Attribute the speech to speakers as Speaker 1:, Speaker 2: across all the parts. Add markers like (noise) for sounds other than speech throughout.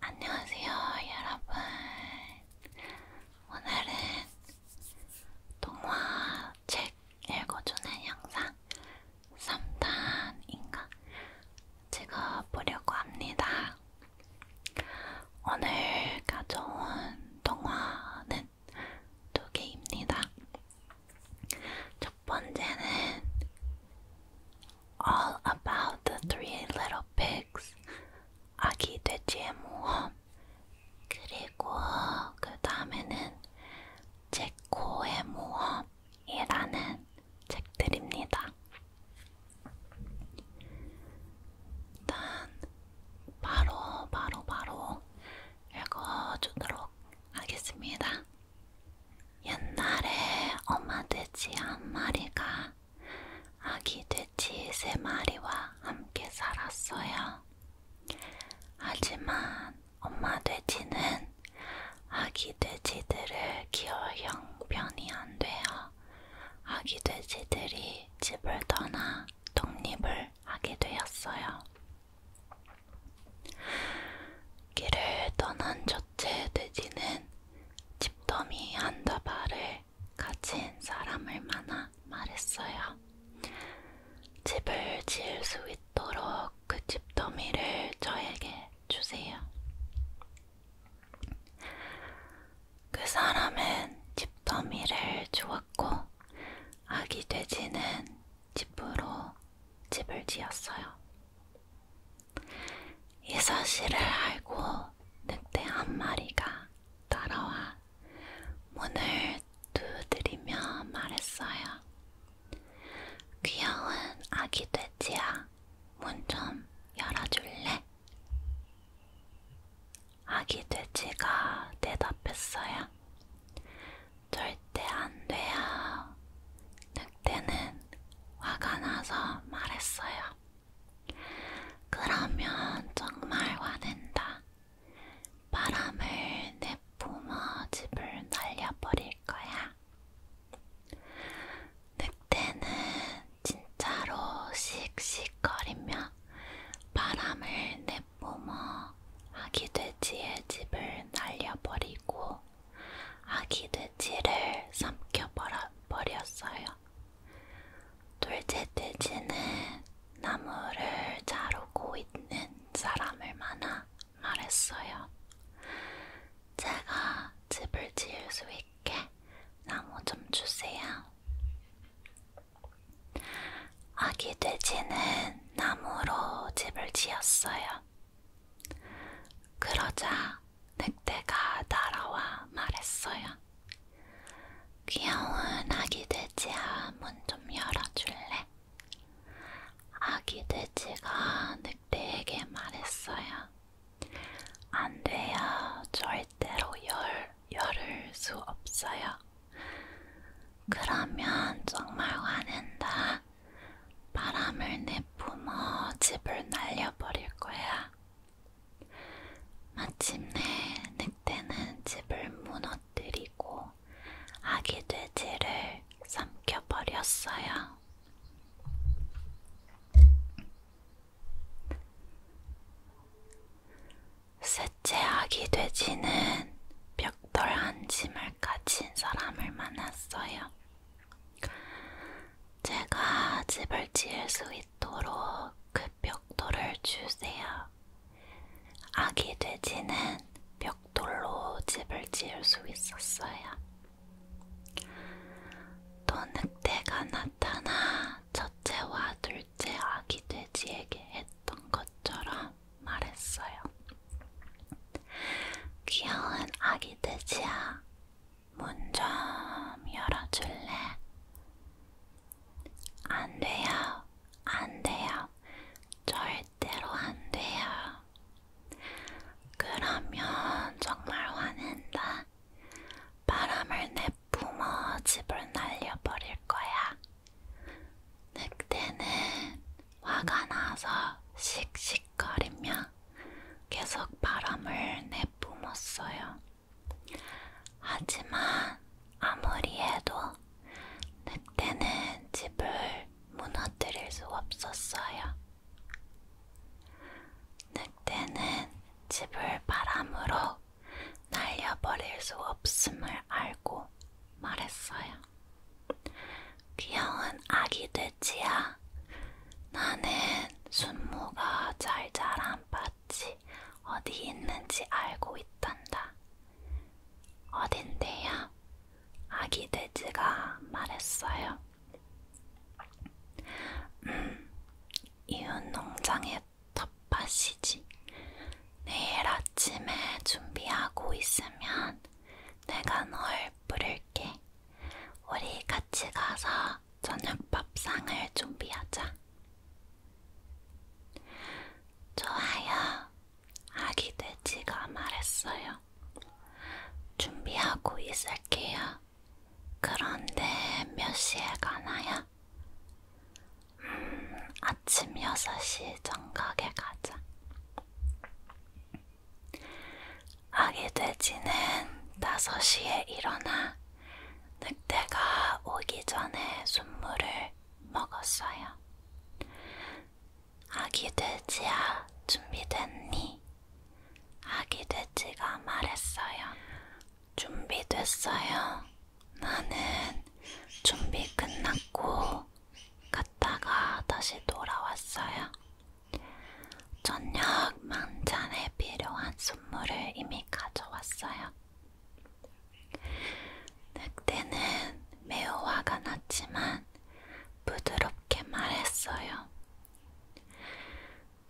Speaker 1: 안녕하세요, 여러분. 오늘은 동화 책 읽어주는 영상 3탄인가 찍어보려고 합니다. 오늘 가져온 동화는 두 개입니다. 첫 번째는 all about the three little pigs. 아기 돼지의 모험. 그리고 그 다음에는 제코의 모험이라는 책들입니다. 일단 바로 바로 바로 읽어주도록 하겠습니다. 옛날에 엄마 돼지 한 마리가 아기 돼지 세 마리와 함께 살았어요. 하지만 엄마 돼지는 아기 돼지들을 키워 형편이 안 돼요. 아기 돼지들이 집을 떠나 독립을 하게 되었어요. 길을 떠난 저 첫째 돼지는 집더미 한 다발을 가진 사람을 만나 말했어요. 집을 지을 수 있도록 그 집더미를 저에게 주세요. 그 사람은 집더미를 주었고 아기 돼지는 집으로 집을 지었어요. 이 사실을 알고 늑대 한 마리가 따라와 문을 두드리며 말했어요. 귀여운 아기 돼지야, 문 좀 열어줄래? 아기 돼지가 대답했어요. 절대 안 돼요. 늑대는 화가 나서 말했어요. 그러면 정말 화낸다. 바람을 내뿜어 집을 날려버릴 거야. 늑대는 진짜로 씩씩거리며 바람을 내뿜어 아기돼지의 집을 날려버리고 아기돼지를 삼켜버려 버렸어요. 둘째 돼지는 나무를 자르고 있는 사람을 만나 말했어요. 제가 집을 지을 수 있게 나무 좀 주세요. 아기 돼지는 나무로 집을 지었어요. 그러자 늑대가 날아와 말했어요. 귀여운 아기 돼지야, 문 좀 열어줄래? 아기 돼지가 늑대에게 말했어요. 안 돼요. 절대로 열, 열을 수 없어요. 그러면 정말 화낸다. 바람을 내뿜어 집을 날려버릴 거야. 마침내 늑대는 집을 무너뜨리고 아기 돼지를 삼켜버렸어요. 셋째 아기 돼지는 벽돌 한 짐을 가진 사람을 만났어요. 제가 집을 지을 수 있도록 그 벽돌을 주세요. 아기 돼지는 벽돌로 집을 지을 수 있었어요. 또 늑대가 나타나 첫째와 둘째 아기 돼지에게 했던 것처럼 말했어요. 귀여운 아기 돼지야, 문좀 열어줄래? 안 돼요, 안 돼요, 절대로 안 돼요. 그러면 정말 화낸다. 바람을 내뿜어 집을 날려버릴 거야. 늑대는 화가 나서 씩씩거리며 계속 바람을 내뿜었어요. 하지만 아무리 해도 늑대는 집을 무너뜨릴 수 없었어요. 늑대는 집을 바람으로 날려버릴 수 없음을 알고 말했어요. 귀여운 아기 돼지야, 나는 순모가 잘 자란 밭이 어디 있는지 알고 있단다. 어딘데요? 아기 돼지가 말했어요. 음, 이웃 농장의 텃밭이지. 내일 아침에 준비하고 있으면 내가 널 부를게. 우리 같이 가서 저녁밥상을 준비하자. 좋아요. 아기 돼지가 말했어요. 준비하고 있을게요. 그런데 몇 시에 가나요? 음, 아침 6시 정각에 가자. 아기 돼지는 5시에 일어나 늑대가 오기 전에 순물을 먹었어요. 아기 돼지야, 준비됐니? 아기 돼지가 말했어요. 준비됐어요. 나는 준비 끝났고 갔다가 다시 돌아왔어요. 저녁 만찬에 필요한 선물을 이미 가져왔어요. 늑대는 매우 화가 났지만 부드럽게 말했어요.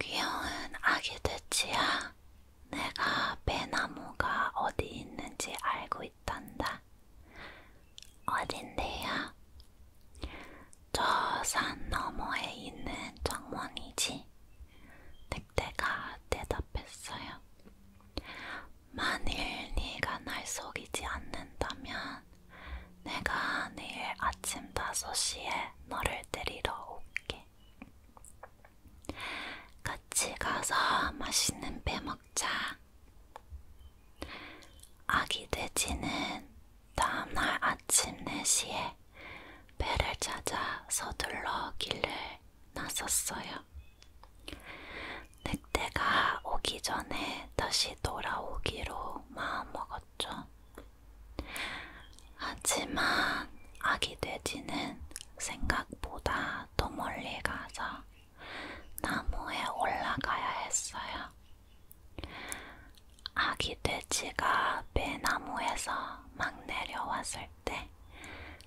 Speaker 1: 귀여운 아기 돼지야, 내가 배나무가 어디 있는지 알고 있단다. 어딘데요? 저산 너머에 있는 정원이지? 늑대가 대답했어요. 만일 네가 날 속이지 않는다면 내가 내일 아침 5시에 너를 데리러 올게. 같이 가서 맛있는 배 먹자. 아기 돼지는 다음날 아침 4시에 배를 찾아 서둘러 길을 나섰어요. 늑대가 오기 전에 다시 돌아오기로 마음먹었죠. 하지만 아기 돼지는 생각보다 더 멀리 가서 나무에 올라가야 했어요. 아기 돼지가 배나무에서 막 내려왔을 때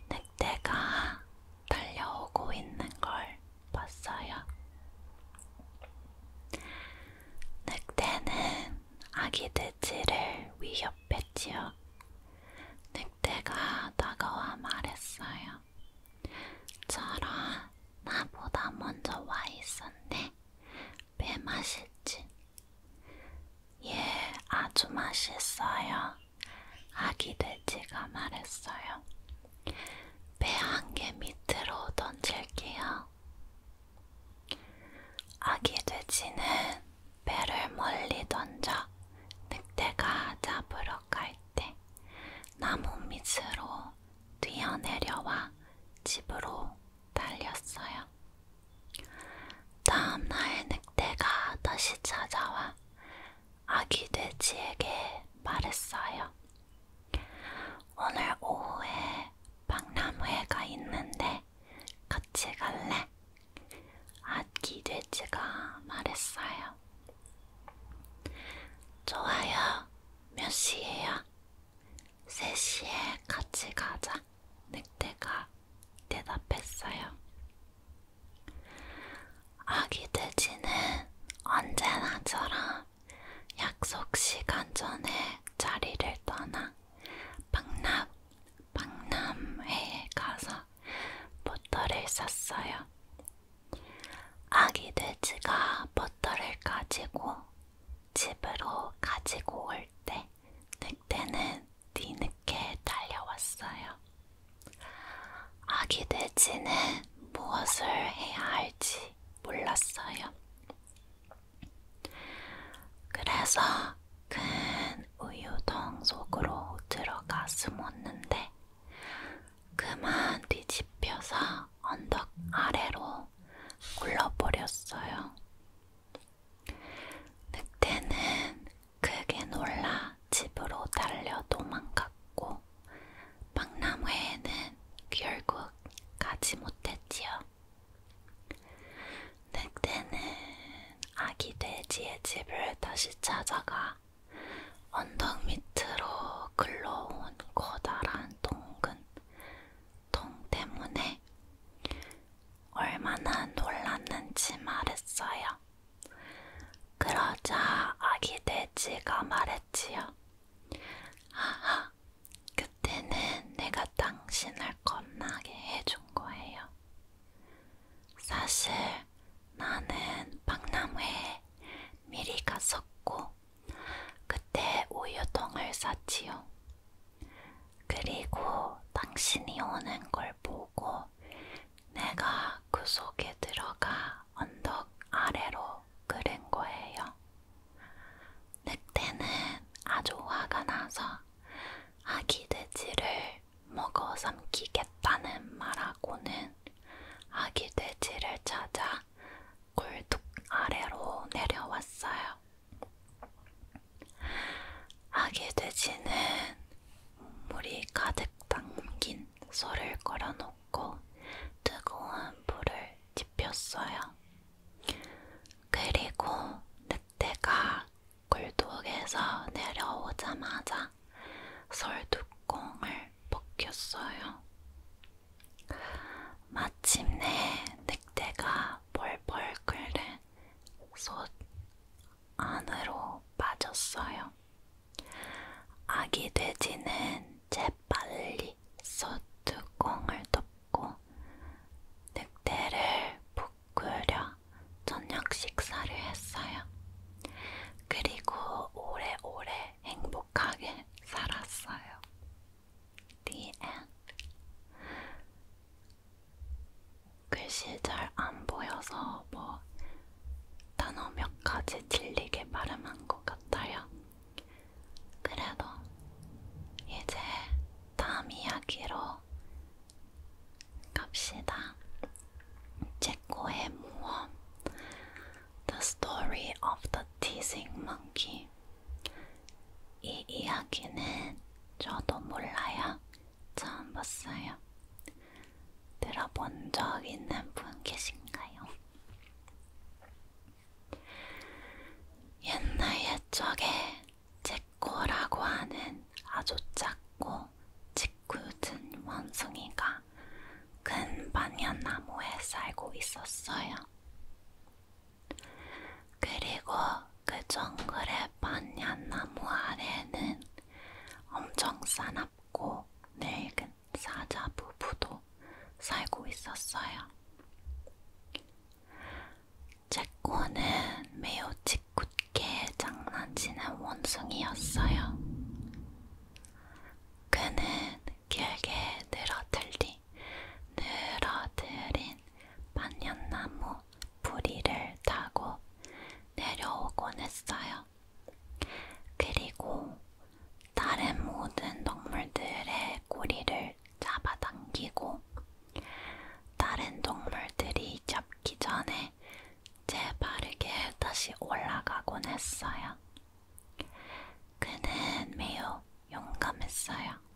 Speaker 1: 늑대가 달려오고 있는 걸 봤어요. 늑대는 아기 돼지를 위협했지요. 늑대가 다가와 말했어요. 저런 나보다 먼저 와 있었네. 왜 맛있지? 예, 아주 맛있어요. 아기 돼지가 말했어요. 배 한 개 밑으로 던질게요. 아기 돼지는 배를 멀리 던져 늑대가 잡으러 갈 때 나무 밑으로 뛰어내려와 집으로 달렸어요. 다음날 늑대가 다시 찾아와 아기 돼지에게 말했어요. 오늘 오후에 박람회가 있는데 같이 갈래? 아기 돼지가 말했어요. 좋아요. 몇 시에요? 3시에 같이 가자. 늑대가 대답했어요. 아기 돼지는 언제나처럼 약속 시간 전에 자리를 떠나 박람, 박람회에 가서 버터를 샀어요. 아기 돼지가 버터를 가지고 집으로 가지고 올때 늑대는 뒤늦게 달려왔어요. 아기 돼지는 무엇을 해야 할지 몰랐어요. 그래서 큰 우유통 속으로 들어가 숨었는데 그만 뒤집혀서 언덕 아래로 굴러버렸어요. 늑대는 크게 놀라 집으로 달려 도망갔고 박람회에는 결국 가지 못했지요. 늑대는 아기 돼지의 집을 다시 찾아가 언덕 밑으로 글러온 커다란 동근 통 때문에 얼마나 놀랐는지 말했어요. 그러자 아기 돼지가 말했지요. 하하, 그때는 내가 당신을 겁나게 해준 거예요. 사실 나는 박람회에 미리 갔었고, 그때 우유통을 샀지요. 그리고 당신이 오는 걸 보고 내가 그 속에 들어가 언덕 아래로 끌은 거예요. 늑대는 아주 화가 나서 아기 돼지를 먹어 삼키겠다는 말하고는 아기 돼지를 찾아 굴뚝 아래로 내려왔어요. 아기 돼지는 물이 가득 담긴 소를 걸어놓고 뜨거운 불을 지폈어요. 그리고 늑대가 굴뚝에서 내려오자마자 솔두콩을 벗겼어요. 마침내 늑대가 벌벌 끓는 솥 안으로 빠졌어요. 아기 돼지는 재빨리 솥 뚜껑을 덮고 늑대를 푹 끓여 저녁 식사를 했어요. 그리고 오래오래 행복하게 살았어요. The end. 글씨 잘 안 보여서 뭐 단어 몇 가지 질리게 발음한 것 같아요. 그래도 이제 다음 이야기로 갑시다. 체코의 모험 The Story of the Teasing Monkey 이 이야기는 저도 몰라요. 처음 봤어요. 들어본 적 있는 분 계신가요? 옛날 옛적에 제코라고 하는 아주 작고 짓궂은 원숭이가 큰 반연나무에 살고 있었어요. 그리고 그 정글의 반얀나무 아래는 엄청 사납고 늙은 사자 부부도 살고 있었어요. 제코는 매우 짓궂게 장난치는 원숭이였어요. 그는 길게 늘어들린 없이 늘어뜨린 반년나무 부리를 타고 내려오곤 했어요. 그리고 다른 모든 동물들의 꼬리를 잡아당기고 다른 동물들이 잡기 전에 재빠르게 다시 올라가곤 했어요. 그는 매우 용감했어요.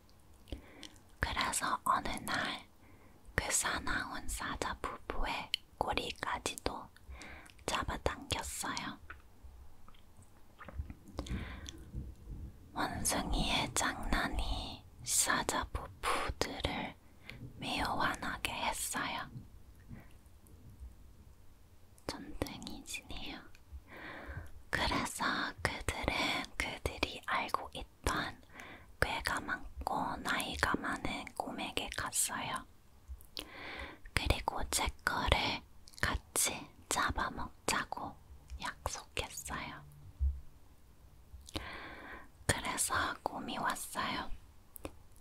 Speaker 1: 그래서 어느 날 그 사나운 사자 부부의 꼬리까지도 잡아당겼어요. 원숭이의 장난이 사자 부부들을 매우 화나게 했어요. 전등이 지네요. 그래서 그들은 그들이 알고 이 또한 꽤가 많고 나이가 많은 곰에게 갔어요. 그리고 제 거를 같이 잡아먹자고 약속했어요. 그래서 곰이 왔어요.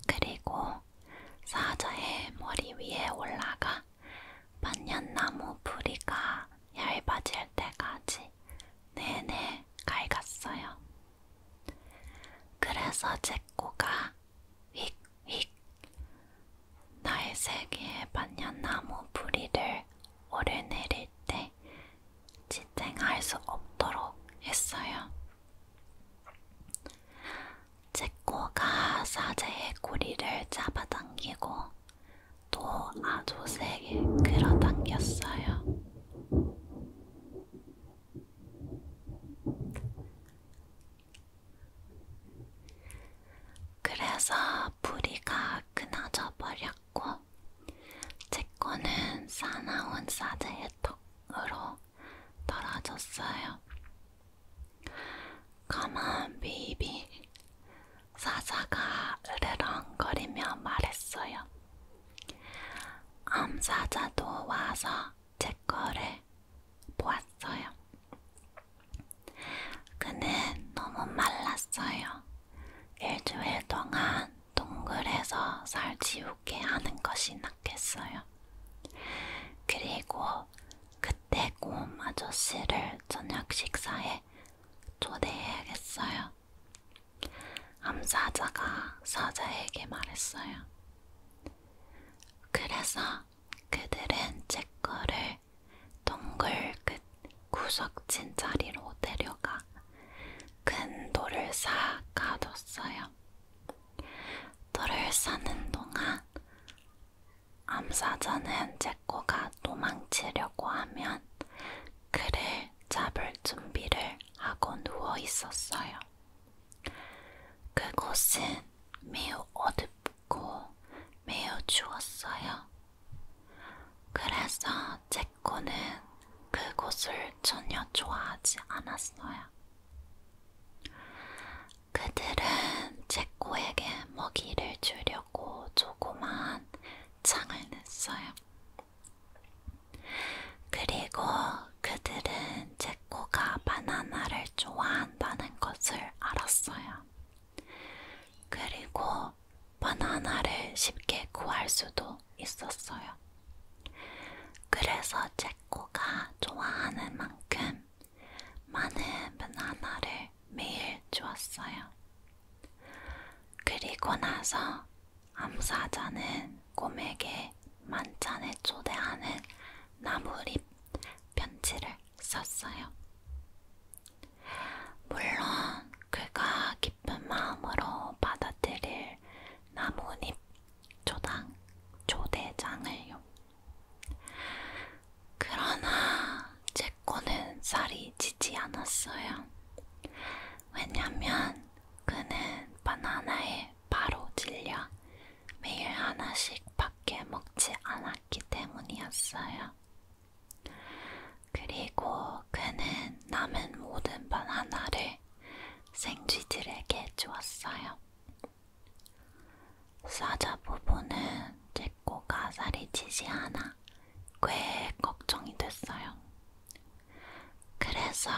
Speaker 1: 그리고 사자의 머리 위에 올라가 반년나무 부리가 얇아질 때까지 내내 갈갔어요. 그래서 제 코가 휙휙 나의 세계의 반년나무 부리를 오르내릴 때 지탱할 수 없도록 했어요. 제 코가 사제의 고리를 잡아당기고 또 아주 세게 끌어당겼어요. 그래서 부리가 끊어져 버렸고, 제 거는 사나운 사드의 턱으로 떨어졌어요. 가만, 비비. 사자가 으르렁거리며 말했어요. 암사자도 와서 제 거를 보았어요. 그는 너무 말랐어요. 일주일 동안 동굴에서 살 지우게 하는 것이 낫겠어요. 그리고 그때 곰 아저씨를 저녁 식사에 자리에 초대해야겠어요. 암사자가 사자에게 말했어요. 그래서 그들은 제거를 동굴 끝 구석진 자리로 데려가 큰 돌을 쌓아 가뒀어요. 돌을 쌓는 동안 암사자는 제 제코가 도망치려고 하면 그를 잡을 준비를 하고 누워 있었어요. 그곳은 매우 어둡고 매우 추웠어요. 그래서 제코는 그곳을 전혀 좋아하지 않았어요. 그들은 제코에게 먹이를 주려고 조그만 창을 냈어요. 그리고 그들은 제코가 바나나를 좋아한다는 것을 알았어요. 그리고 바나나를 쉽게 구할 수도 있었어요. 그래서 제코가 좋아하는 만큼 많은 바나나를 매일 주었어요. 그리고 나서 암사자는 곰에게 만찬에 초대하는 나무잎 편지를 썼어요. 물론 그가 기쁜 마음으로 받아들일 나뭇잎 초당 초대장을요. 그러나 제제 거는 살이 찌지 않았어요. 왜냐면 그는 바나나에 바로 질려 매일 하나씩 밖에 먹지 않았기 때문이었어요. 그리고 그는 남은 모든 바나나를 생쥐들에게 주었어요. 사자 부부는 제 꼬가 살이 찌지 않아 꽤 걱정이 됐어요. 그래서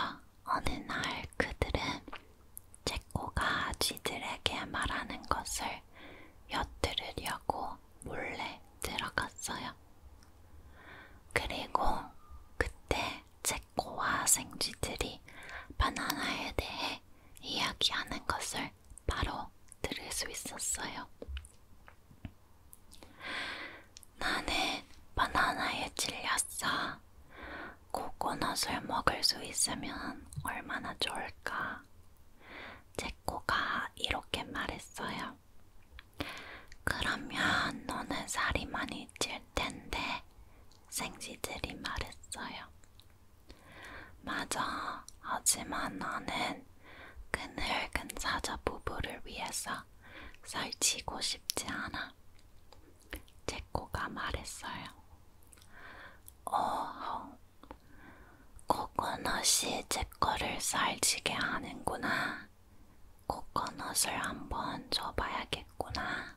Speaker 1: 어느 날 그들은 제코가 쥐들에게 말하는 것을 엿들으려고 몰래 들어갔어요. 그리고 그때 제코와 생쥐들이 바나나에 대해 이야기하는 것을 바로 들을 수 있었어요. 나는 바나나에 질렸어. 코코넛을 먹을 수 있으면 얼마나 좋을까. 제코가 이렇게 말했어요. 그러면 너는 살이 많이 찔 텐데, 생쥐들이 말했어요. 맞아. 하지만 나는 그늘근 사자 부부를 위해서 설치고 싶지 않아. 제코가 말했어요. 어허, 코코넛이 제거를 살지게 하는구나. 코코넛을 한번 줘봐야겠구나.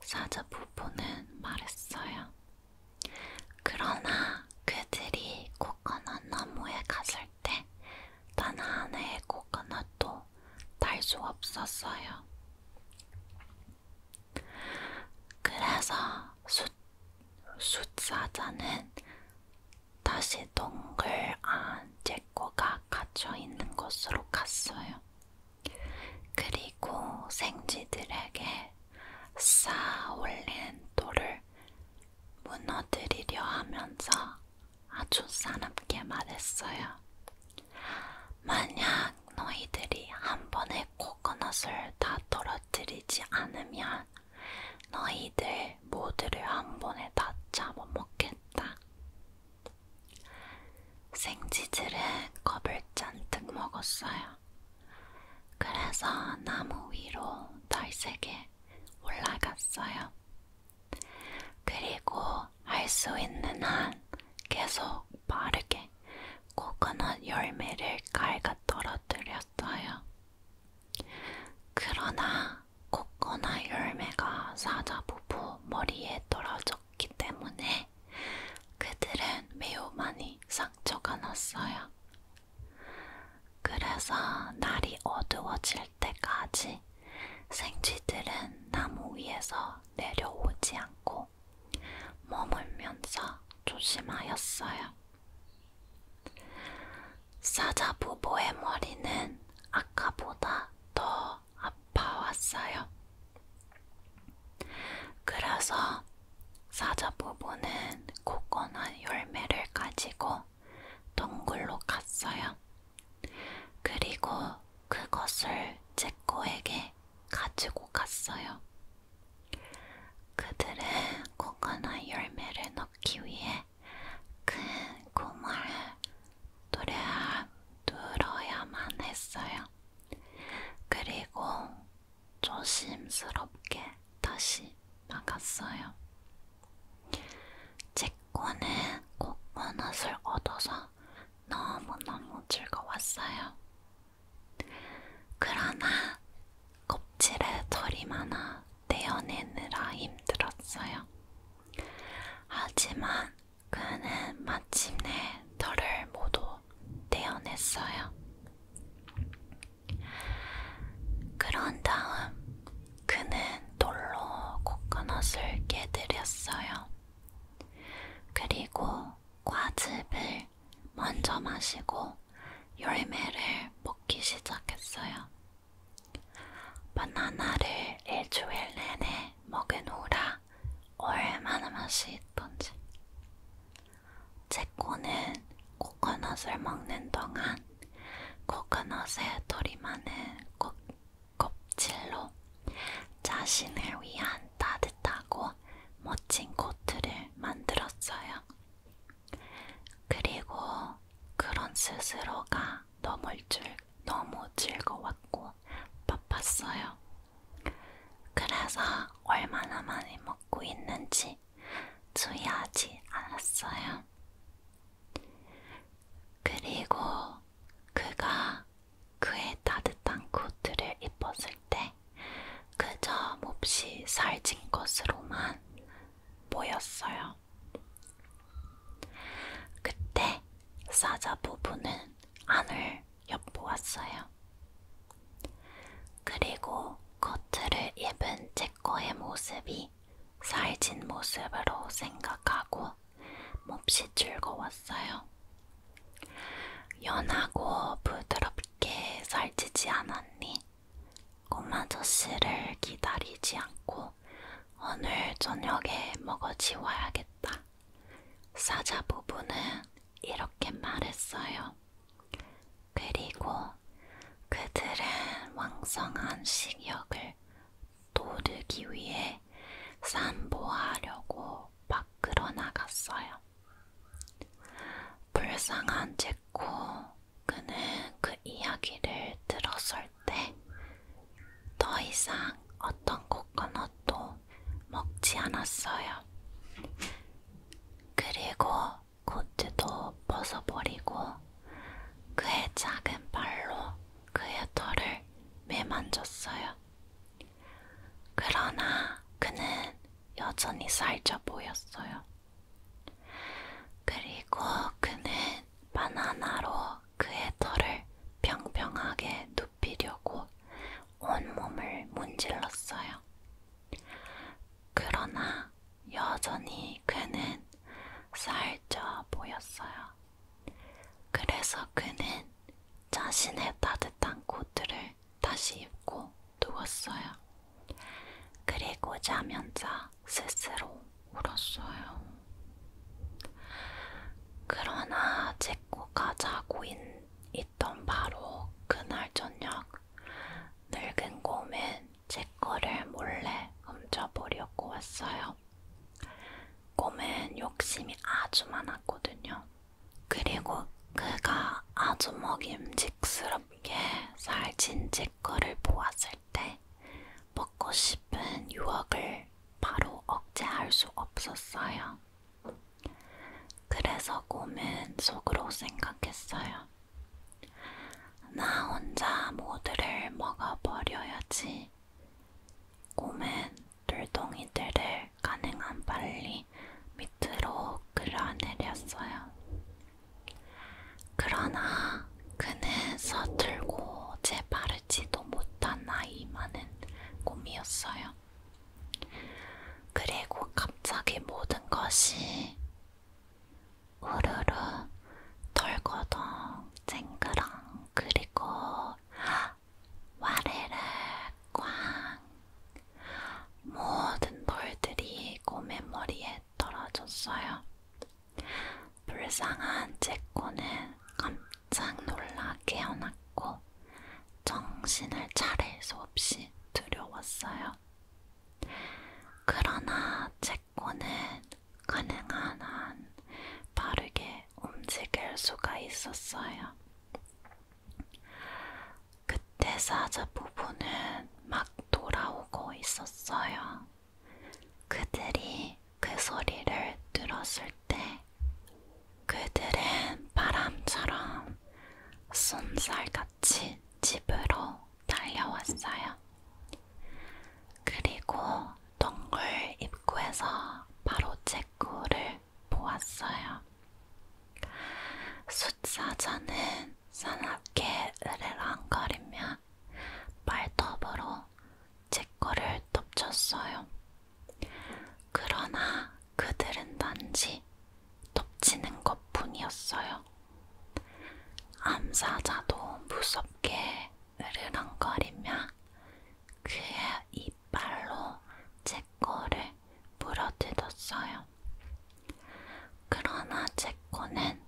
Speaker 1: 사자 부부는 말했어요. 그러나 그들이 곧 코코넛 나무에 갔을 때단 하나의 코코넛도 달수 없었어요. 그래서 숫, 숫사자는 다시 동굴 안 제코가 갇혀있는 곳으로 갔어요. 그리고 생쥐들에게 쌓아올린 돌을 무너뜨리려 하면서 아주 사납게 말했어요. 만약 너희들이 한 번에 코코넛을 다 떨어뜨리지 않으면 너희들 모두를 한 번에 다 잡아먹겠다. 생쥐들은 겁을 잔뜩 먹었어요. 그래서 나무 위로 달색에 올라갔어요. 그리고 할 수 있는 한 계속 빠르게 코코넛 열매를 갉아 떨어뜨렸어요. 그러나 코코넛 열매가 사자 부부 머리에 떨어졌기 때문에 그들은 매우 많이 상처가 났어요. 그래서 날이 어두워질 때까지 생쥐들은 나무 위에서 내려오지 않고 머물면서 조심하였어요. 사자 부보의 머리는 아까보다 더 아파왔어요. 그래서 사자 부보는 굳건한 열매를 가지고 동굴로 갔어요. 그리고 그것을 제코에게 가지고 갔어요. 그들은 코코넛 열매를 넣기 위해 큰 고마를 누려야, 눌어야만 했어요. 그리고 조심스럽게 다시 나갔어요. 제코는 코코넛을 얻어서 너무너무 즐거웠어요. 그러나 껍질에 털이 많아 떼어내느라 힘들었어요. 하지만 그는 마침내 털을 모두 떼어냈어요. 그런 다음 그는 돌로 코코넛을 깨뜨렸어요. 그리고 과즙을 먼저 마시고 열매를 먹기 시작했어요. 바나나를 일주일 내내 먹은 후라 얼마나 맛이 있던지. 제코는 코코넛을 먹는 동안 코코넛의 돌이 많은 곱, 껍질로 자신을 위한 따뜻하고 멋진 코트를 만들었어요. 그리고 그런 스스로가 너무, 즐, 너무 즐거웠고 바빴어요. 그래서 얼마나 많이 먹고 있는지 주의하지 않았어요. 그리고 그가 그의 따뜻한 코트를 입었을 때 그저 몹시 살찐 것으로만 보였어요. 그때 사자 부부는 안을 엿보았어요. 그리고 코트를 입은 제꺼의 모습이 살진 모습으로 생각하고 몹시 즐거웠어요. 연하고 부드럽게 살찌지 않았니? 꼬마 저씨를 기다리지 않고 오늘 저녁에 먹어치워야겠다. 사자 부부는 이렇게 말했어요. 그리고 그들은 왕성한 식욕을 도르기 위해 산보하려고 밖으로 나갔어요. 불쌍한 제코 그는 그 이야기를 들었을 때 더 이상 어떤 코코넛도 먹지 않았어요. 그리고 코트도 벗어버리고 그의 작은 발로 그의 털을 매만졌어요. 그러나 그는 여전히 살쪄 보였어요. 그리고 그는 바나나로 그의 털을 평평하게 눕히려고 온몸을 문질렀어요. 그러나 여전히 그는 살쪄 보였어요. 그래서 그는 자신의 따뜻한 코트를 다시 입고 누웠어요. 그리고 자면자 스스로 울었어요. 그러나 제코가 자고 있, 있던 바로 그날 저녁 늙은 곰은 제 거를 몰래 훔쳐보려고 왔어요. 곰은 욕심이 아주 많았거든요. 그리고 그가 아주 먹임직스럽게 살찐 제 거를 보았을 때 먹고 싶은 유혹을 바로 억제할 수 없었어요. 그래서 곰은 속으로 생각했어요. 나 혼자 모두를 먹어버려야지. 곰은 돌덩이들을 가능한 빨리 밑으로 끌어내렸어요. 그러나 그는 서툴고 재빠르지도 못한 나이 많은 곰이었어요. 그리고 갑자기 모든 것이 우르르 털고동 쨍그랑 그리고 와르르 꽝 모든 돌들이 고메머리에 떨어졌어요. 불쌍한 제코는 깜짝 놀라 깨어났고 정신을 차릴 수 없이 두려웠어요. 그러나 제코는 가능한 한 빠르게 움직일 수가 있었어요. 그때 사자 부부는 막 돌아오고 있었어요. 그들이 그 소리를 들었을 때 그들은 바람처럼 쏜살같이 집으로 달려왔어요. 그리고 동굴 입구에서 바로 체코를 보았어요. 숫사자는 사납게 으르렁거리며 발톱으로 체코를 덮쳤어요. 그러나 그들은 단지 덮치는 것 뿐이었어요. 암사자도 무섭게 으르렁거리며 그의 이빨로 제 거를 물어뜯었어요. 그러나 제 거는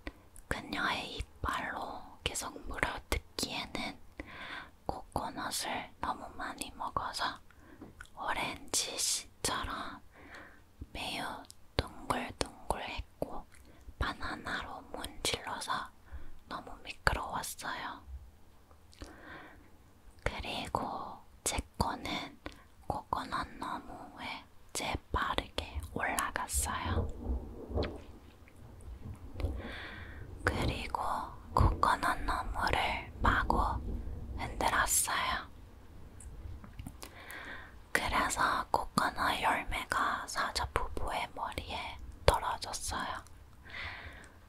Speaker 1: 그녀의 이빨로 계속 물어뜯기에는 코코넛을 너무 많이 먹어서 오렌지 씨처럼 매우 둥글둥글했고 바나나로 문질러서 너무 미끄러웠어요. 그리고 제 거는 코코넛 너머에 재빠르게 올라갔어요. 그리고 코코넛 너머를 마구 흔들었어요. 그래서 코코넛 열매가 사자 부부의 머리에 떨어졌어요.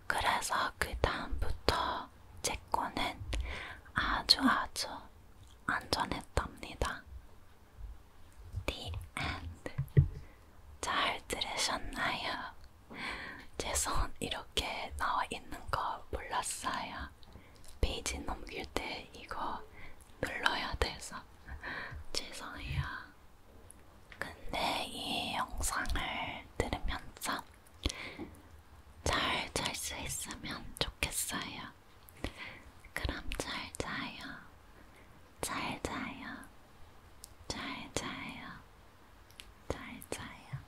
Speaker 1: 그래서 그 다음부터 제 거는 아주 아주 안전했답니다. The end. 잘 들으셨나요? 제 손 이렇게 나와 있는 거 몰랐어요. 페이지 넘길 때 이거 눌러야 돼서. (laughs) 죄송해요. 근데 이 영상을 들으면서 잘 잘 수 있으면 좋겠어요. 그럼 잘 자요. 잘 자요. 잘 자요. 잘 자요.